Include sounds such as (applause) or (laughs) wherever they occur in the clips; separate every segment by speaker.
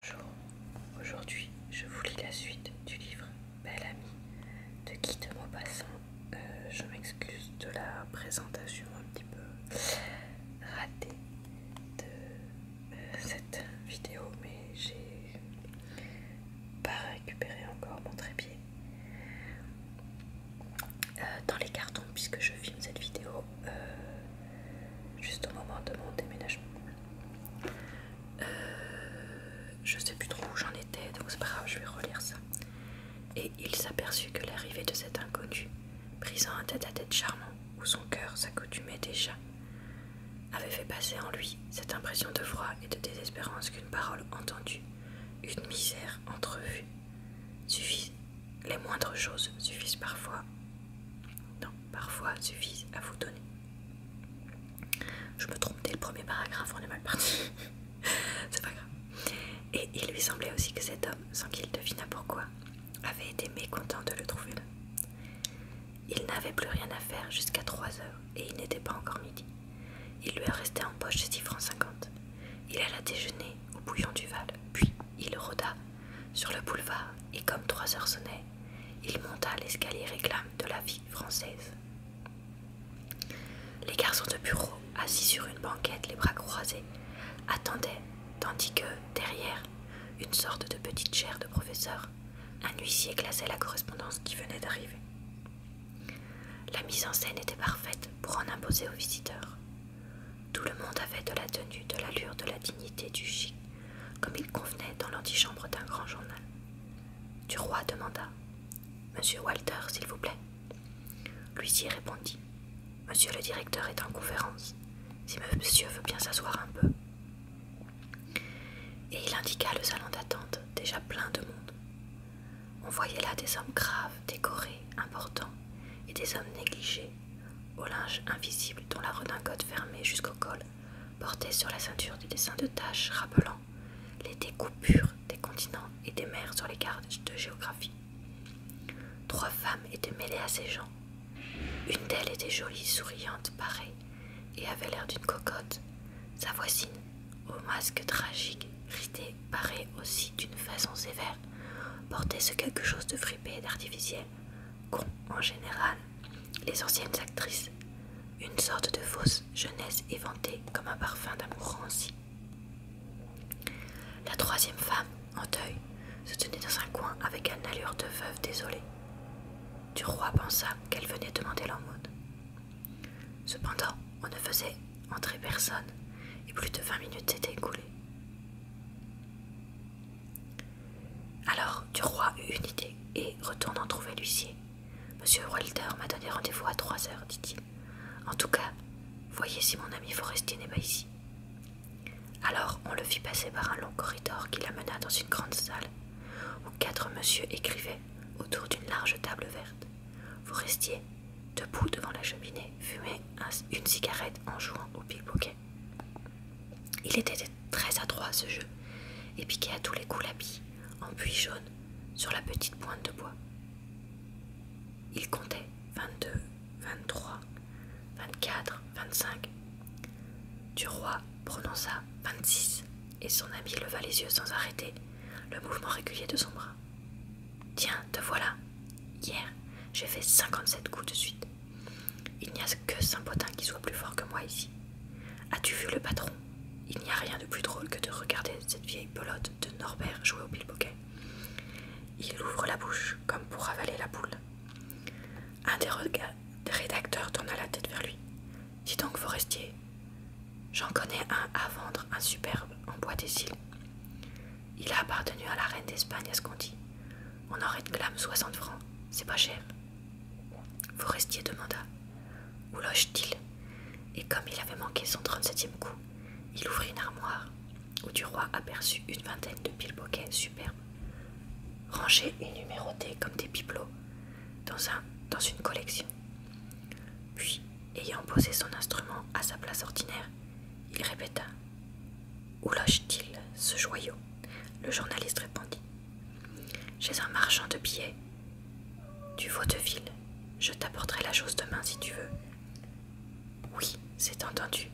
Speaker 1: Bonjour, aujourd'hui je vous lis la suite du livre Belle ami de Guy de Maupassant. Euh, je m'excuse de la présentation un petit peu ratée de euh, cette vidéo, mais j'ai pas récupéré encore mon trépied euh, dans les cartons puisque je filme cette vidéo juste au moment de mon déménagement. Euh, je sais plus trop où j'en étais, donc c'est pas grave, je vais relire ça. Et il s'aperçut que l'arrivée de cet inconnu, Prisant un tête-à-tête charmant, où son cœur s'accoutumait déjà, avait fait passer en lui cette impression de froid et de désespérance qu'une parole entendue, une misère entrevue, suffit les moindres choses suffisent parfois. Non, parfois suffisent à vous donner. Je me trompe dès le premier paragraphe, on est mal parti. (laughs) C'est pas grave. Et il lui semblait aussi que cet homme, sans qu'il devinât pourquoi, avait été mécontent de le trouver là. Il n'avait plus rien à faire jusqu'à 3 heures et il n'était pas encore midi. Il lui restait en poche six francs 50. Il alla déjeuner au bouillon du Val, puis il rôda sur le boulevard et comme trois heures sonnaient, il monta l'escalier réclame de la vie française. Les garçons de bureau, assis sur une banquette, les bras croisés, attendaient, tandis que, derrière, une sorte de petite chaire de professeur, un huissier glaçait la correspondance qui venait d'arriver. La mise en scène était parfaite pour en imposer aux visiteurs. Tout le monde avait de la tenue, de l'allure, de la dignité, du chic, comme il convenait dans l'antichambre d'un grand journal. Du roi demanda Monsieur Walter, s'il vous plaît. Lui-ci répondit Monsieur le directeur est en conférence. Si monsieur veut bien s'asseoir un peu. Et il indiqua le salon d'attente, déjà plein de monde. On voyait là des hommes graves, décorés, importants, et des hommes négligés, au linge invisible dont la redingote fermée jusqu'au col portait sur la ceinture des dessins de taches rappelant les découpures des continents et des mers sur les cartes de géographie. Trois femmes étaient mêlées à ces gens. Une d'elles était jolie, souriante, parée, et avait l'air d'une cocotte. Sa voisine, au masque tragique, ridée paraît aussi d'une façon sévère. Porter ce quelque chose de fripé et d'artificiel qu'ont en général les anciennes actrices. Une sorte de fausse jeunesse éventée comme un parfum d'amour La troisième femme, en deuil, se tenait dans un coin avec un allure de veuve désolée. Du roi pensa qu'elle venait demander l'aumône. Cependant, on ne faisait entrer personne, et plus de vingt minutes s'étaient écoulées. Alors du roi eut une idée, et, retournant trouver l'huissier, Monsieur Walter m'a donné rendez-vous à trois heures, dit-il. En tout cas, voyez si mon ami Forestier n'est pas ici. Alors on le fit passer par un long corridor qui l'amena dans une grande salle, où quatre messieurs écrivaient autour d'une large table verte. Forestier, debout devant la cheminée, fumait une cigarette en jouant au pickpocket. Il était très adroit à ce jeu et piquait à tous les coups l'habit, en puits jaune sur la petite pointe de bois. Il comptait 22, 23, 24, 25. Du roi prononça 26 et son ami leva les yeux sans arrêter le mouvement régulier de son bras. Tiens, te voilà. Hier, j'ai fait cinquante-sept coups de suite. Il n'y a que Saint-Potin qui soit plus fort que moi ici. As-tu vu le patron Il n'y a rien de plus drôle que de regarder cette vieille pelote de Norbert jouer au bilboquet. Il ouvre la bouche comme pour avaler la boule. Un des, des rédacteurs tourna la tête vers lui. Dis donc, forestier, j'en connais un à vendre, un superbe, en bois des Il a appartenu à la reine d'Espagne, à ce qu'on dit. On en réclame soixante francs, c'est pas cher. Forestier demanda Où loge-t-il Et comme il avait manqué son trente-septième coup, il ouvrit une armoire où du roi aperçut une vingtaine de piles bouquets superbes, rangés et numérotés comme des bibelots, dans, un, dans une collection. Puis, ayant posé son instrument à sa place ordinaire, il répéta Où loge-t-il ce joyau Le journaliste répondit Chez un marchand de billets du vaudeville. Je t'apporterai la chose demain si tu veux. Oui, c'est entendu.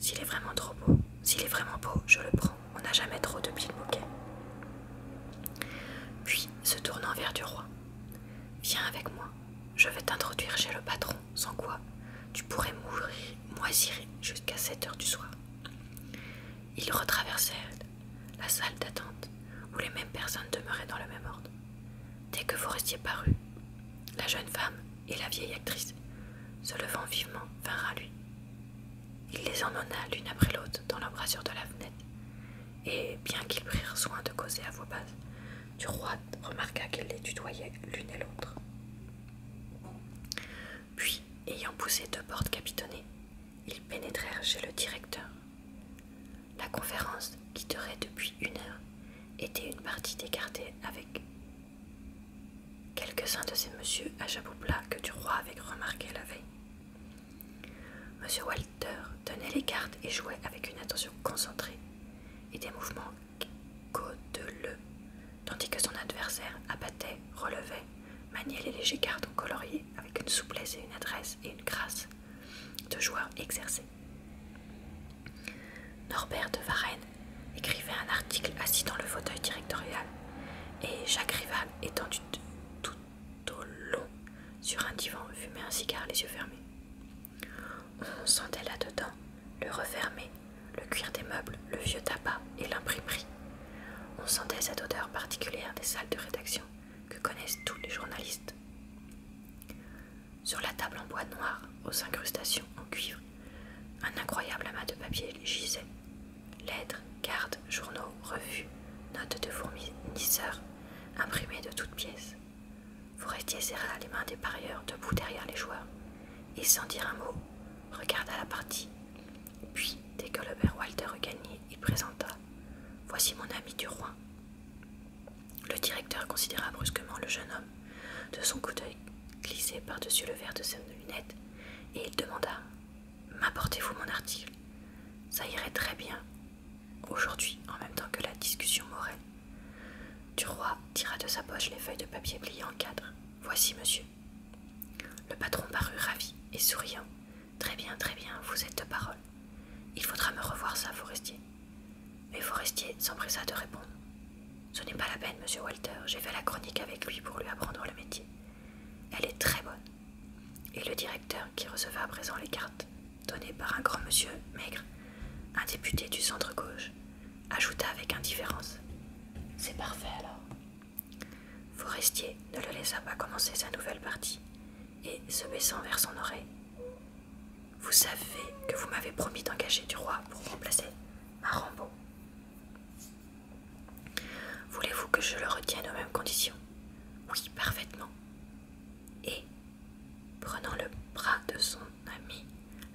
Speaker 1: S'il est vraiment trop beau, s'il est vraiment beau, je le prends. On n'a jamais trop de pieds de puis, se tournant vers du roi, Viens avec moi, je vais t'introduire chez le patron, sans quoi tu pourrais mourir, moisir jusqu'à 7 heures du soir. Ils retraversèrent la salle d'attente où les mêmes personnes demeuraient dans le même ordre. Dès que vous restiez parus, la jeune femme et la vieille actrice, se levant vivement, vinrent à lui. Il les emmena l'une après l'autre dans l'embrasure de la fenêtre, et bien qu'ils prirent soin de causer à voix basse, du roi remarqua qu'ils les tutoyait l'une et l'autre. Puis, ayant poussé deux portes capitonnées, ils pénétrèrent chez le directeur. La conférence, qui durait depuis une heure, était une partie d'écartée avec quelques-uns de ces messieurs à chapeau plat que du roi avait remarqué la veille. Monsieur Walter tenait les cartes et jouait avec une attention concentrée et des mouvements le, tandis que son adversaire abattait, relevait, maniait les légers cartes en colorier avec une souplesse et une adresse et une grâce de joueur exercé. Norbert de Varenne écrivait un article assis dans le fauteuil directorial et Jacques étendu tout au long sur un divan, fumait un cigare les yeux fermés. On sentait là-dedans le refermé, le cuir des meubles, le vieux tabac et l'imprimerie. On sentait cette odeur particulière des salles de rédaction que connaissent tous les journalistes. Sur la table en bois noir, aux incrustations en cuivre un incroyable amas de papier gisait. Lettres, cartes, journaux, revues, notes de fournisseurs, imprimés de toutes pièces. Forestier serra les mains des parieurs debout derrière les joueurs, et sans dire un mot, regarda la partie. Puis, dès que le père Walter eut il présenta Voici mon ami du roi. Le directeur considéra brusquement le jeune homme de son coup d'œil glissé par-dessus le verre de ses lunettes et il demanda M'apportez-vous mon article Ça irait très bien. Aujourd'hui, en même temps que la discussion du roi tira de sa poche les feuilles de papier pliées en quatre. Voici, monsieur. Le patron parut ravi et souriant. Très bien, très bien, vous êtes de parole. Il faudra me revoir ça, Forestier. Mais Forestier s'empressa de répondre. Ce n'est pas la peine, monsieur Walter. J'ai fait la chronique avec lui pour lui apprendre le métier. Elle est très bonne. Et le directeur, qui recevait à présent les cartes, données par un grand monsieur, maigre, un député du centre gauche, ajouta avec indifférence. C'est parfait alors. Forestier ne le laissa pas commencer sa nouvelle partie, et, se baissant vers son oreille, Vous savez que vous m'avez promis d'engager du roi pour remplacer Marambo Voulez-vous que je le retienne aux mêmes conditions Oui, parfaitement. Et, prenant le bras de son ami,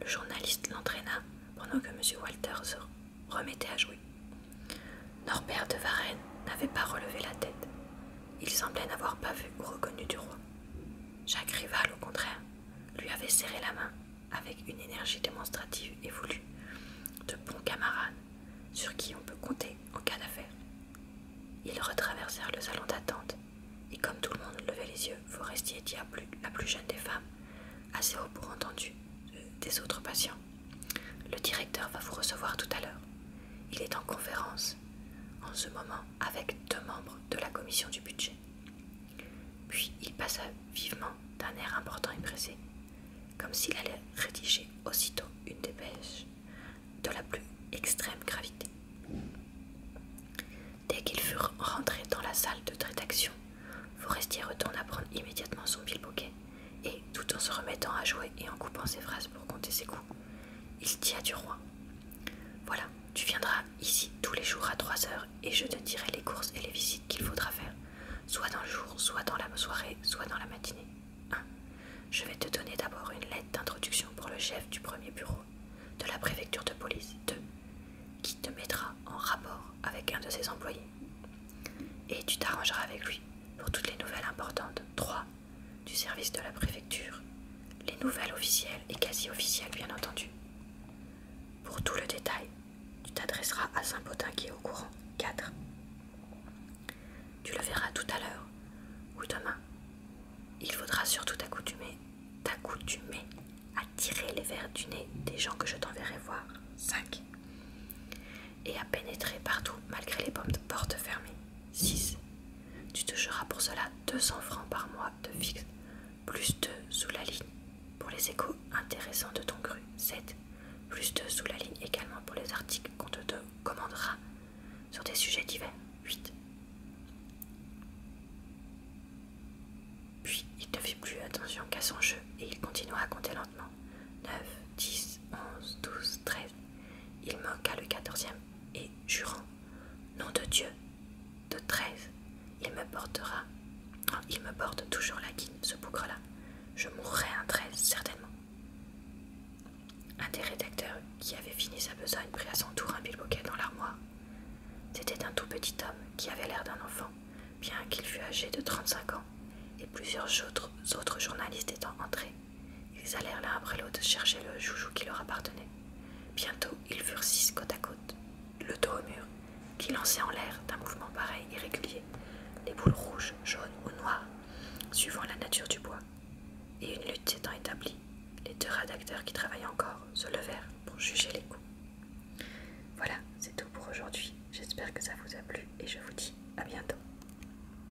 Speaker 1: le journaliste l'entraîna pendant que M. Walter se remettait à jouer. Norbert de Varennes n'avait pas relevé la tête. Il semblait n'avoir pas vu ou reconnu du roi. Jacques Rival, au contraire, lui avait serré la main avec une énergie démonstrative et voulue, de bons camarades sur qui on peut compter en cas d'affaire. Ils retraversèrent le salon d'attente, et comme tout le monde levait les yeux, Forestier dit à la plus jeune des femmes, assez haut pour entendu euh, des autres patients Le directeur va vous recevoir tout à l'heure. Il est en conférence en ce moment avec deux membres de la commission du budget. Puis il passa vivement d'un air important et pressé, comme s'il allait rédiger aussitôt une dépêche de la plus extrême gravité. Dès qu'ils furent rentrés dans la salle de rédaction, Forestier retourna prendre immédiatement son bilboquet et, tout en se remettant à jouer et en coupant ses phrases pour compter ses coups, il dit à du roi Voilà, tu viendras ici tous les jours à 3 heures et je te dirai les courses et les visites qu'il faudra faire, soit dans le jour, soit dans la soirée, soit dans la matinée. 1. Je vais te donner d'abord une lettre d'introduction pour le chef du premier bureau de la préfecture de police. 2. Qui te mettra en rapport avec un de ses employés. Et tu t'arrangeras avec lui pour toutes les nouvelles importantes. 3. Du service de la préfecture. Les nouvelles officielles et quasi officiel bien entendu. Pour tout le détail, tu t'adresseras à Saint-Potin qui est au courant. 4. Tu le verras tout à l'heure ou demain. Il faudra surtout t'accoutumer, t'accoutumer à tirer les verres du nez des gens que je t'enverrai voir. 5. Et à pénétrer partout malgré les portes fermées. 6. Tu toucheras pour cela 200 francs par mois de fixe, plus 2 sous la ligne pour les échos intéressants de ton cru. 7. Plus 2 sous la ligne également pour les articles qu'on te commandera sur des sujets divers. 8. Puis il ne fit plus attention qu'à son jeu et il continua à compter lentement. 9, 10, 11, 12, 13. Il manqua le 14e et, jurant Nom de Dieu De 13, Il me portera. il me porte toujours la guine, ce bougre-là. Je mourrai un treize, certainement. Un des rédacteurs qui avait fini sa besogne prit à son tour un bouquet dans l'armoire. C'était un tout petit homme qui avait l'air d'un enfant, bien qu'il fût âgé de 35 ans, et plusieurs autres, autres journalistes étant entrés. Ils allèrent l'un après l'autre chercher le joujou qui leur appartenait. Bientôt, ils furent six côte à côte, le dos au mur, qui lançait en l'air d'un mouvement pareil irrégulier les boules rouges, jaunes ou noires, suivant la nature du bois. Et une lutte étant établie, les deux rédacteurs qui travaillaient encore se levèrent pour juger les coups. Voilà, c'est tout pour aujourd'hui. J'espère que ça vous a plu et je vous dis à bientôt.